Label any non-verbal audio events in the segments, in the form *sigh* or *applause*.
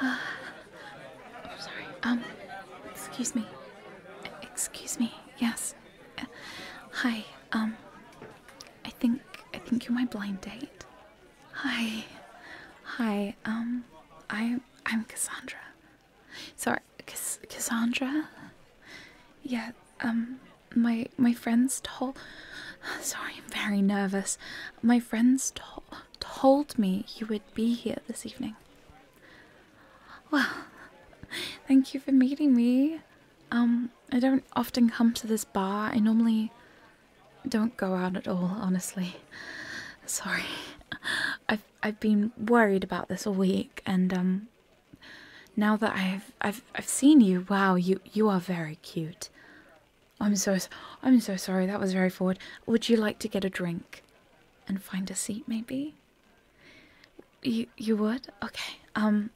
*sighs* Sorry. Um, excuse me. Excuse me. Yes. Uh, hi. Um, I think I think you're my blind date. Hi. Hi. Um, I I'm Cassandra. Sorry, Cass Cassandra. Yeah. Um. My my friends told. Sorry, I'm very nervous. My friends told told me you would be here this evening. Well, thank you for meeting me. Um, I don't often come to this bar. I normally don't go out at all, honestly. Sorry. I've I've been worried about this all week and um now that I've I've I've seen you, wow, you you are very cute. I'm so I'm so sorry. That was very forward. Would you like to get a drink and find a seat maybe? You you would? Okay. Um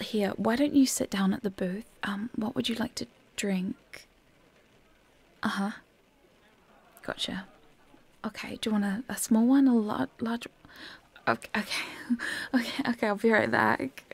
here, why don't you sit down at the booth? Um what would you like to drink? Uh huh. Gotcha. Okay, do you want a, a small one, a large, larger? okay, *laughs* okay, okay. I'll be right back.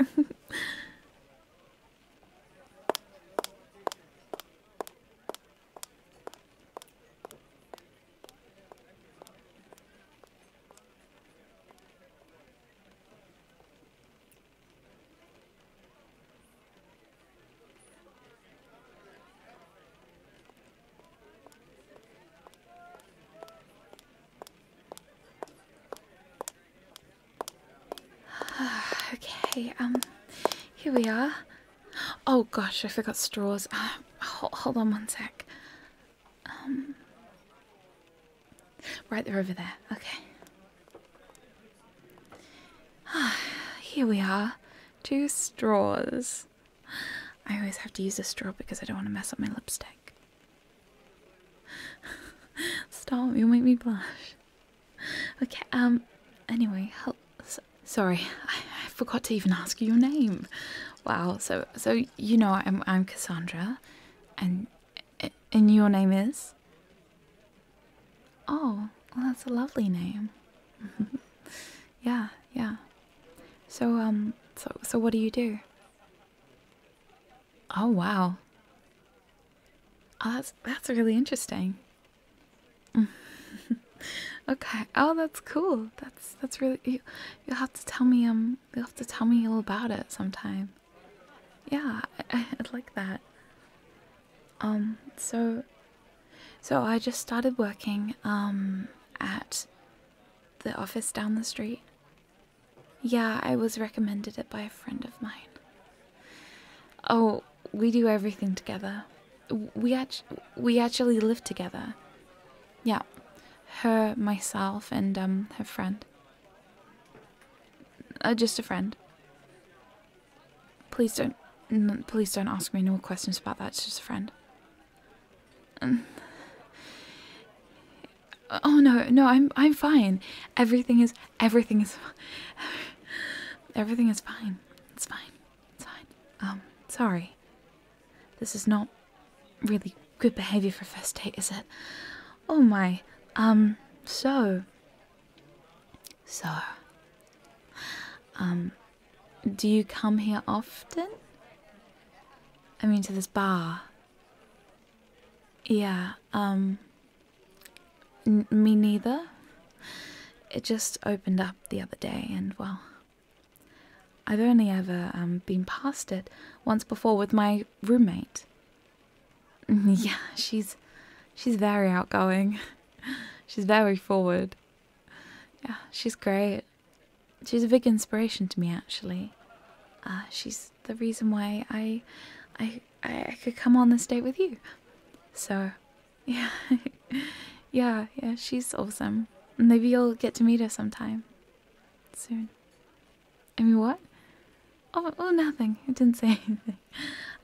*sighs* okay, um, here we are. Oh gosh, I forgot straws. Uh, *sighs* hold, hold on one sec. Um, Right, there, over there. Okay. Ah, here we are. Two straws. I always have to use a straw because I don't want to mess up my lipstick. *laughs* Stop, you'll make me blush. Okay, um, anyway, help. sorry, I, I forgot to even ask you your name. Wow, so, so, you know, I'm, I'm Cassandra, and and your name is? Oh, well, that's a lovely name. *laughs* yeah, yeah. So, um, so, so what do you do? Oh, wow. Oh, that's, that's really interesting. *laughs* okay. Oh, that's cool. That's, that's really, you'll have to tell me, um, you'll have to tell me all about it sometime yeah, I, would like that. Um, so, so I just started working, um, at the office down the street. Yeah, I was recommended it by a friend of mine. Oh, we do everything together. We act we actually live together. Yeah, her, myself, and um, her friend. Uh, just a friend. Please don't. please don't ask me any more questions about that. It's just a friend. Um, oh no, no, I'm I'm fine. Everything is everything is everything is fine. It's fine. It's fine. Um, sorry. This is not really Good behavior for a first date, is it? Oh my. Um, so. So. Um, do you come here often? I mean, to this bar. Yeah, um. me neither. It just opened up the other day, and well. I've only ever um, been past it once before with my roommate. Mm-hmm. yeah, she's she's very outgoing. *laughs* she's very forward. Yeah, she's great. She's a big inspiration to me actually. Uh, she's the reason why I I I could come on this date with you. So, *laughs* yeah. yeah, yeah, she's awesome. Maybe you'll get to meet her sometime soon. I mean, what? Oh, oh, nothing. It didn't say *laughs* anything.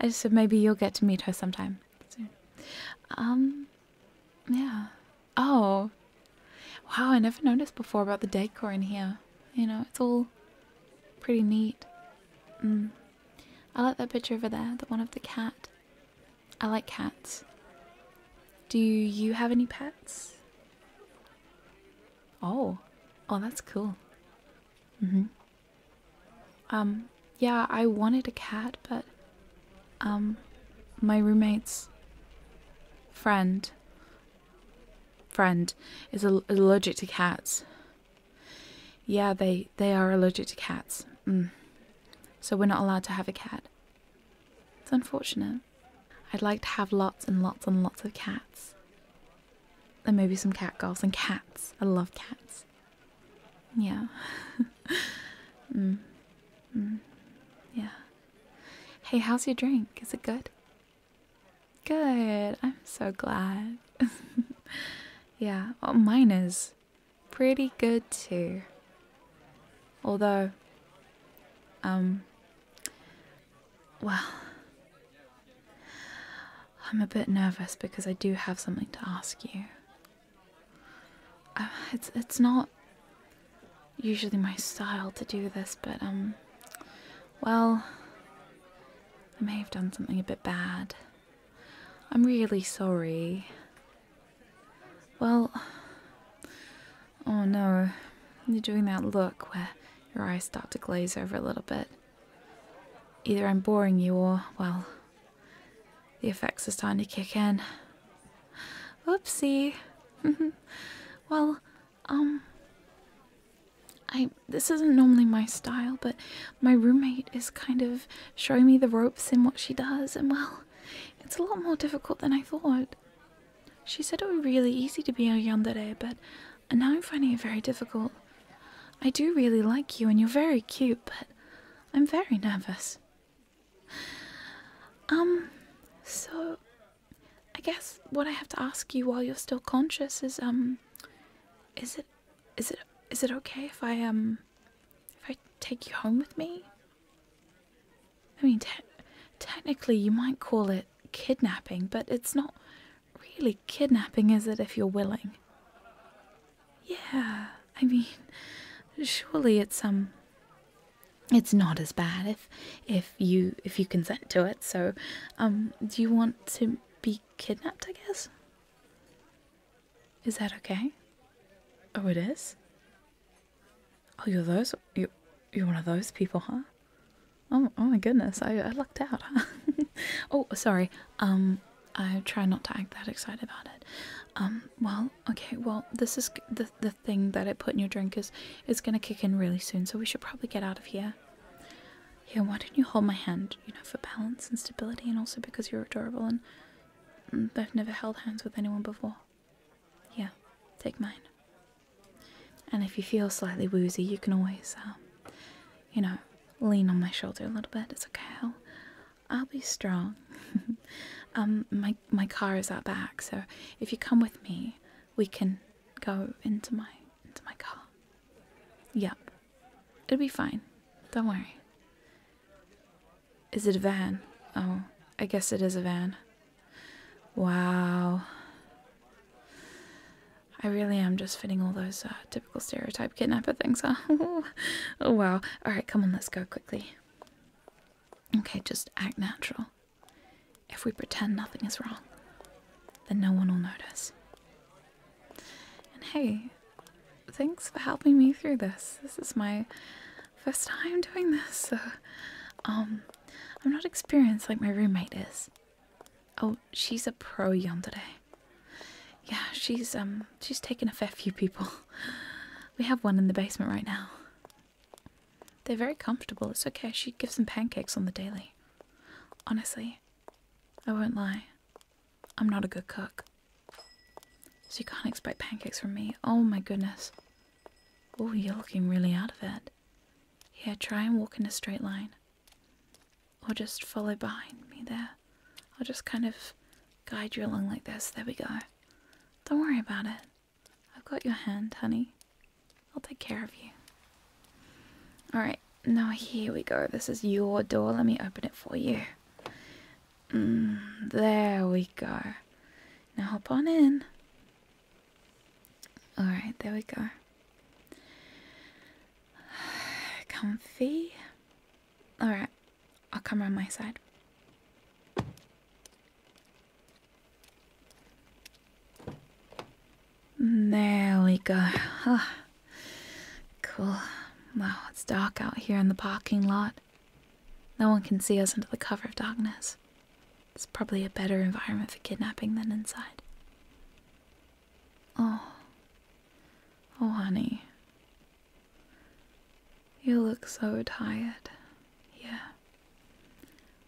I just said maybe you'll get to meet her sometime soon. Um, yeah. Oh, wow! I never noticed before about the decor in here. You know, it's all pretty neat. Mm. I like that picture over there, the one of the cat. I like cats. Do you have any pets? Oh, oh, that's cool. Mm-hmm. Um, yeah, I wanted a cat, but um, my roommate's friend friend is allergic to cats. Yeah, they they are allergic to cats. Mm. So we're not allowed to have a cat. It's unfortunate. I'd like to have lots and lots and lots of cats. And maybe some cat girls and cats. I love cats. Yeah. *laughs* mm. Mm. Yeah. Hey, how's your drink? Is it good? Good. I'm so glad. *laughs* yeah. Well, oh, mine is pretty good too. Although, um, well, I'm a bit nervous because I do have something to ask you. Uh, it's it's not usually my style to do this, but um, well, I may have done something a bit bad. I'm really sorry. Well. Oh no. You're doing that look where your eyes start to glaze over a little bit. Either I'm boring you or, well, the effects are starting to kick in. Oopsie. *laughs* well, um. I, this isn't normally my style, but my roommate is kind of showing me the ropes in what she does, and well, it's a lot more difficult than I thought. She said it would be really easy to be a yandere, but now I'm finding it very difficult. I do really like you and you're very cute, but I'm very nervous. Um, so I guess what I have to ask you while you're still conscious is um is it is it is it okay if I um if I take you home with me? I mean, technically, you might call it kidnapping, but it's not really kidnapping, is it, if you're willing? Yeah, I mean, surely it's um it's not as bad if if you if you consent to it. So, um do you want to be kidnapped, I guess? Is that okay? Oh, it is? Oh, you're those? You, you're one of those people, huh? Oh, oh my goodness, I, I lucked out, *laughs* oh, sorry. Um, I try not to act that excited about it. Um, well, okay, well, this is the, the thing that I put in your drink is, is going to kick in really soon, so we should probably get out of here. Yeah, why don't you hold my hand, you know, for balance and stability and also because you're adorable and mm, I've never held hands with anyone before. Yeah, take mine. And if you feel slightly woozy, you can always, uh, you know, lean on my shoulder a little bit. It's okay. I'll, I'll be strong. *laughs* um, my my car is out back, so if you come with me, we can go into my into my car. Yep, it'll be fine. Don't worry. Is it a van? Oh, I guess it is a van. Wow. I really am just fitting all those uh, typical stereotype kidnapper things, huh? *laughs* oh, wow. Alright, come on, let's go quickly. Okay, just act natural. If we pretend nothing is wrong, then no one will notice. And hey, thanks for helping me through this. This is my first time doing this, so um, I'm not experienced like my roommate is. Oh, she's a pro yonder day. Yeah, she's um, she's taken a fair few people. We have one in the basement right now. They're very comfortable. It's okay. She gives them pancakes on the daily. Honestly, I won't lie. I'm not a good cook. So you can't expect pancakes from me. Oh my goodness. Oh, you're looking really out of it. Yeah, try and walk in a straight line. Or just follow behind me there. I'll just kind of guide you along like this. There we go. Don't worry about it. I've got your hand, honey. I'll take care of you. Alright, now here we go. This is your door. Let me open it for you. Mm, there we go. Now hop on in. Alright, there we go. *sighs* Comfy. Alright, I'll come around my side. Mm, there we go. Oh, *sighs* Cool. Wow, it's dark out here in the parking lot. No one can see us under the cover of darkness. It's probably a better environment for kidnapping than inside. Oh. Oh, honey. You look so tired. Yeah.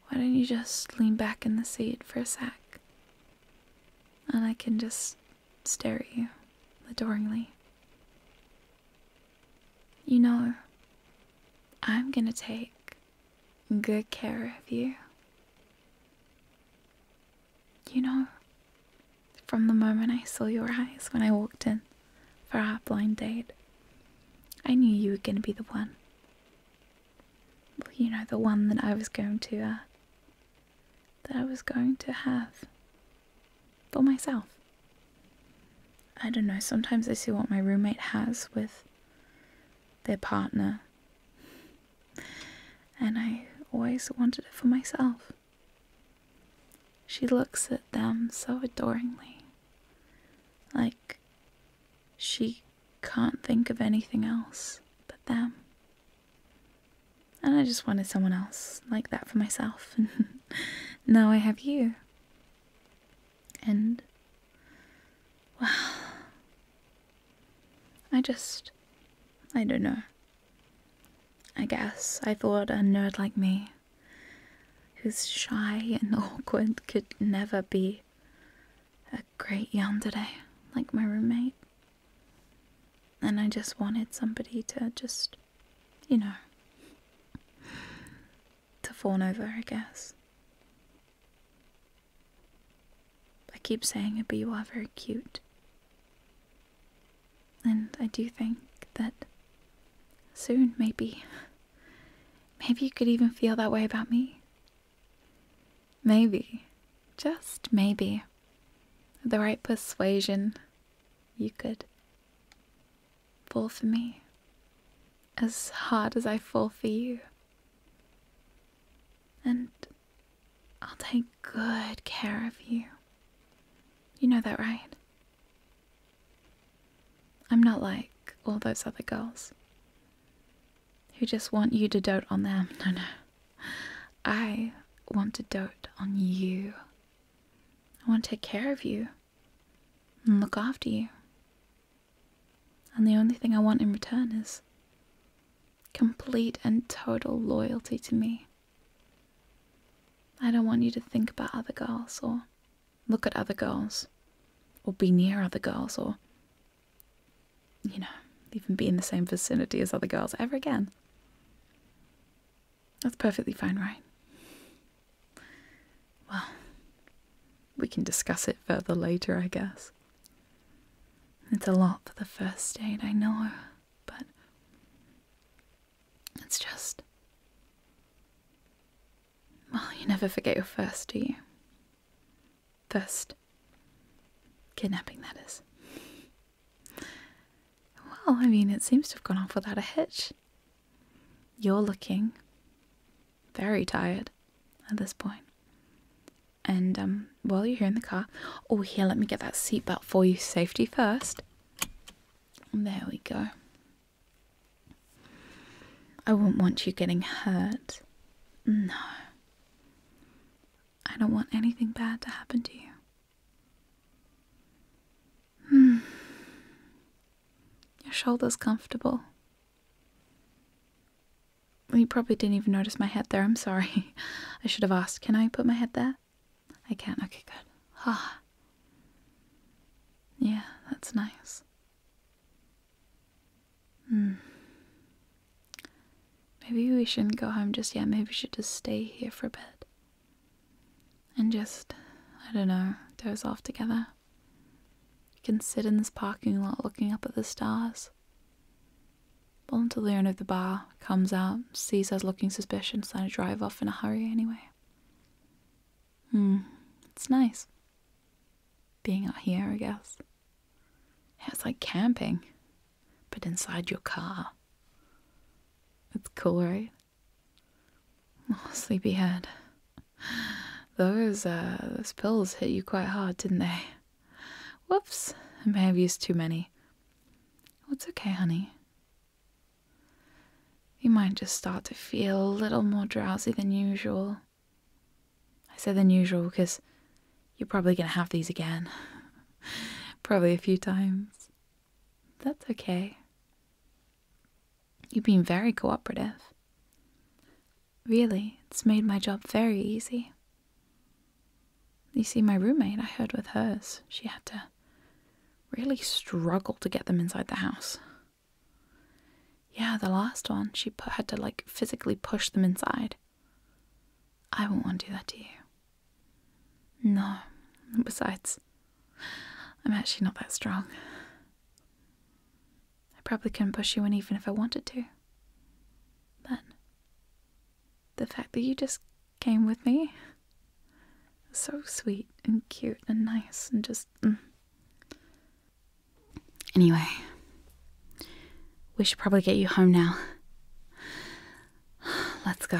Why don't you just lean back in the seat for a sec? And I can just stare at you adoringly. You know, I'm gonna take good care of you. You know, from the moment I saw your eyes when I walked in for our blind date, I knew you were gonna be the one. Well, you know, the one that I was going to uh, that I was going to have for myself. I don't know, sometimes I see what my roommate has with their partner, and I always wanted it for myself. She looks at them so adoringly, like she can't think of anything else but them and I just wanted someone else like that for myself, and *laughs* now I have you. And, well, I just, I don't know. I guess I thought a nerd like me, who's shy and *laughs* awkward, could never be a great yonder. yandere like my roommate. And I just wanted somebody to just, you know, to fawn over, I guess. I keep saying it, but you are very cute. And I do think that soon, maybe, maybe you could even feel that way about me. Maybe just maybe, the right persuasion, you could fall for me as hard as I fall for you. And I'll take good care of you. You know that, right? I'm not like all those other girls who just want you to dote on them. *laughs* No, no. I want to dote on you. I want to take care of you and look after you. And the only thing I want in return is complete and total loyalty to me. I don't want you to think about other girls or look at other girls or be near other girls or you know, even be in the same vicinity as other girls ever again. That's perfectly fine, right? Well, we can discuss it further later, I guess. It's a lot for the first date, I know, but it's just. Well, you never forget your first, do you? First, kidnapping, that is. Well, I mean, it seems to have gone off without a hitch. You're looking very tired at this And um, while you're here in the car, oh, here, let me get that seatbelt for you. Safety first. There we go. I wouldn't want you getting hurt. No. I don't want anything bad to happen to you. Hmm. Your shoulder's comfortable. You probably didn't even notice my head there. I'm sorry. *laughs* I should have asked. Can I put my head there? I can. not Okay, good. Ah. Yeah, that's nice. Hmm. Maybe we shouldn't go home just yet. Maybe we should just stay here for a bit. And just, I don't know, doze off together. We can sit in this parking lot looking up at the stars. Well, until the owner of the bar comes out, sees us looking suspicious, and I drive off in a hurry anyway. Hmm, it's nice. Being out here, I guess it's like camping, but inside your car. It's cool, right? Oh, sleepyhead. Those uh, those pills hit you quite hard, didn't they? Whoops, I may have used too many. Well, it's okay, honey. You might just start to feel a little more drowsy than usual. I said than usual because you're probably going to have these again. *laughs* probably a few times. That's okay. You've been very cooperative. Really, it's made my job very easy. You see, my roommate, I heard with hers, she had to really struggle to get them inside the house. Yeah, the last one. She had to like physically push them inside. I would not want to do that to you. No. Besides, I'm actually not that strong. I probably couldn't push you in even if I wanted to. Then, the fact that you just came with me was so sweet and cute and nice and just. Mm. Anyway, we should probably get you home now. *sighs* Let's go.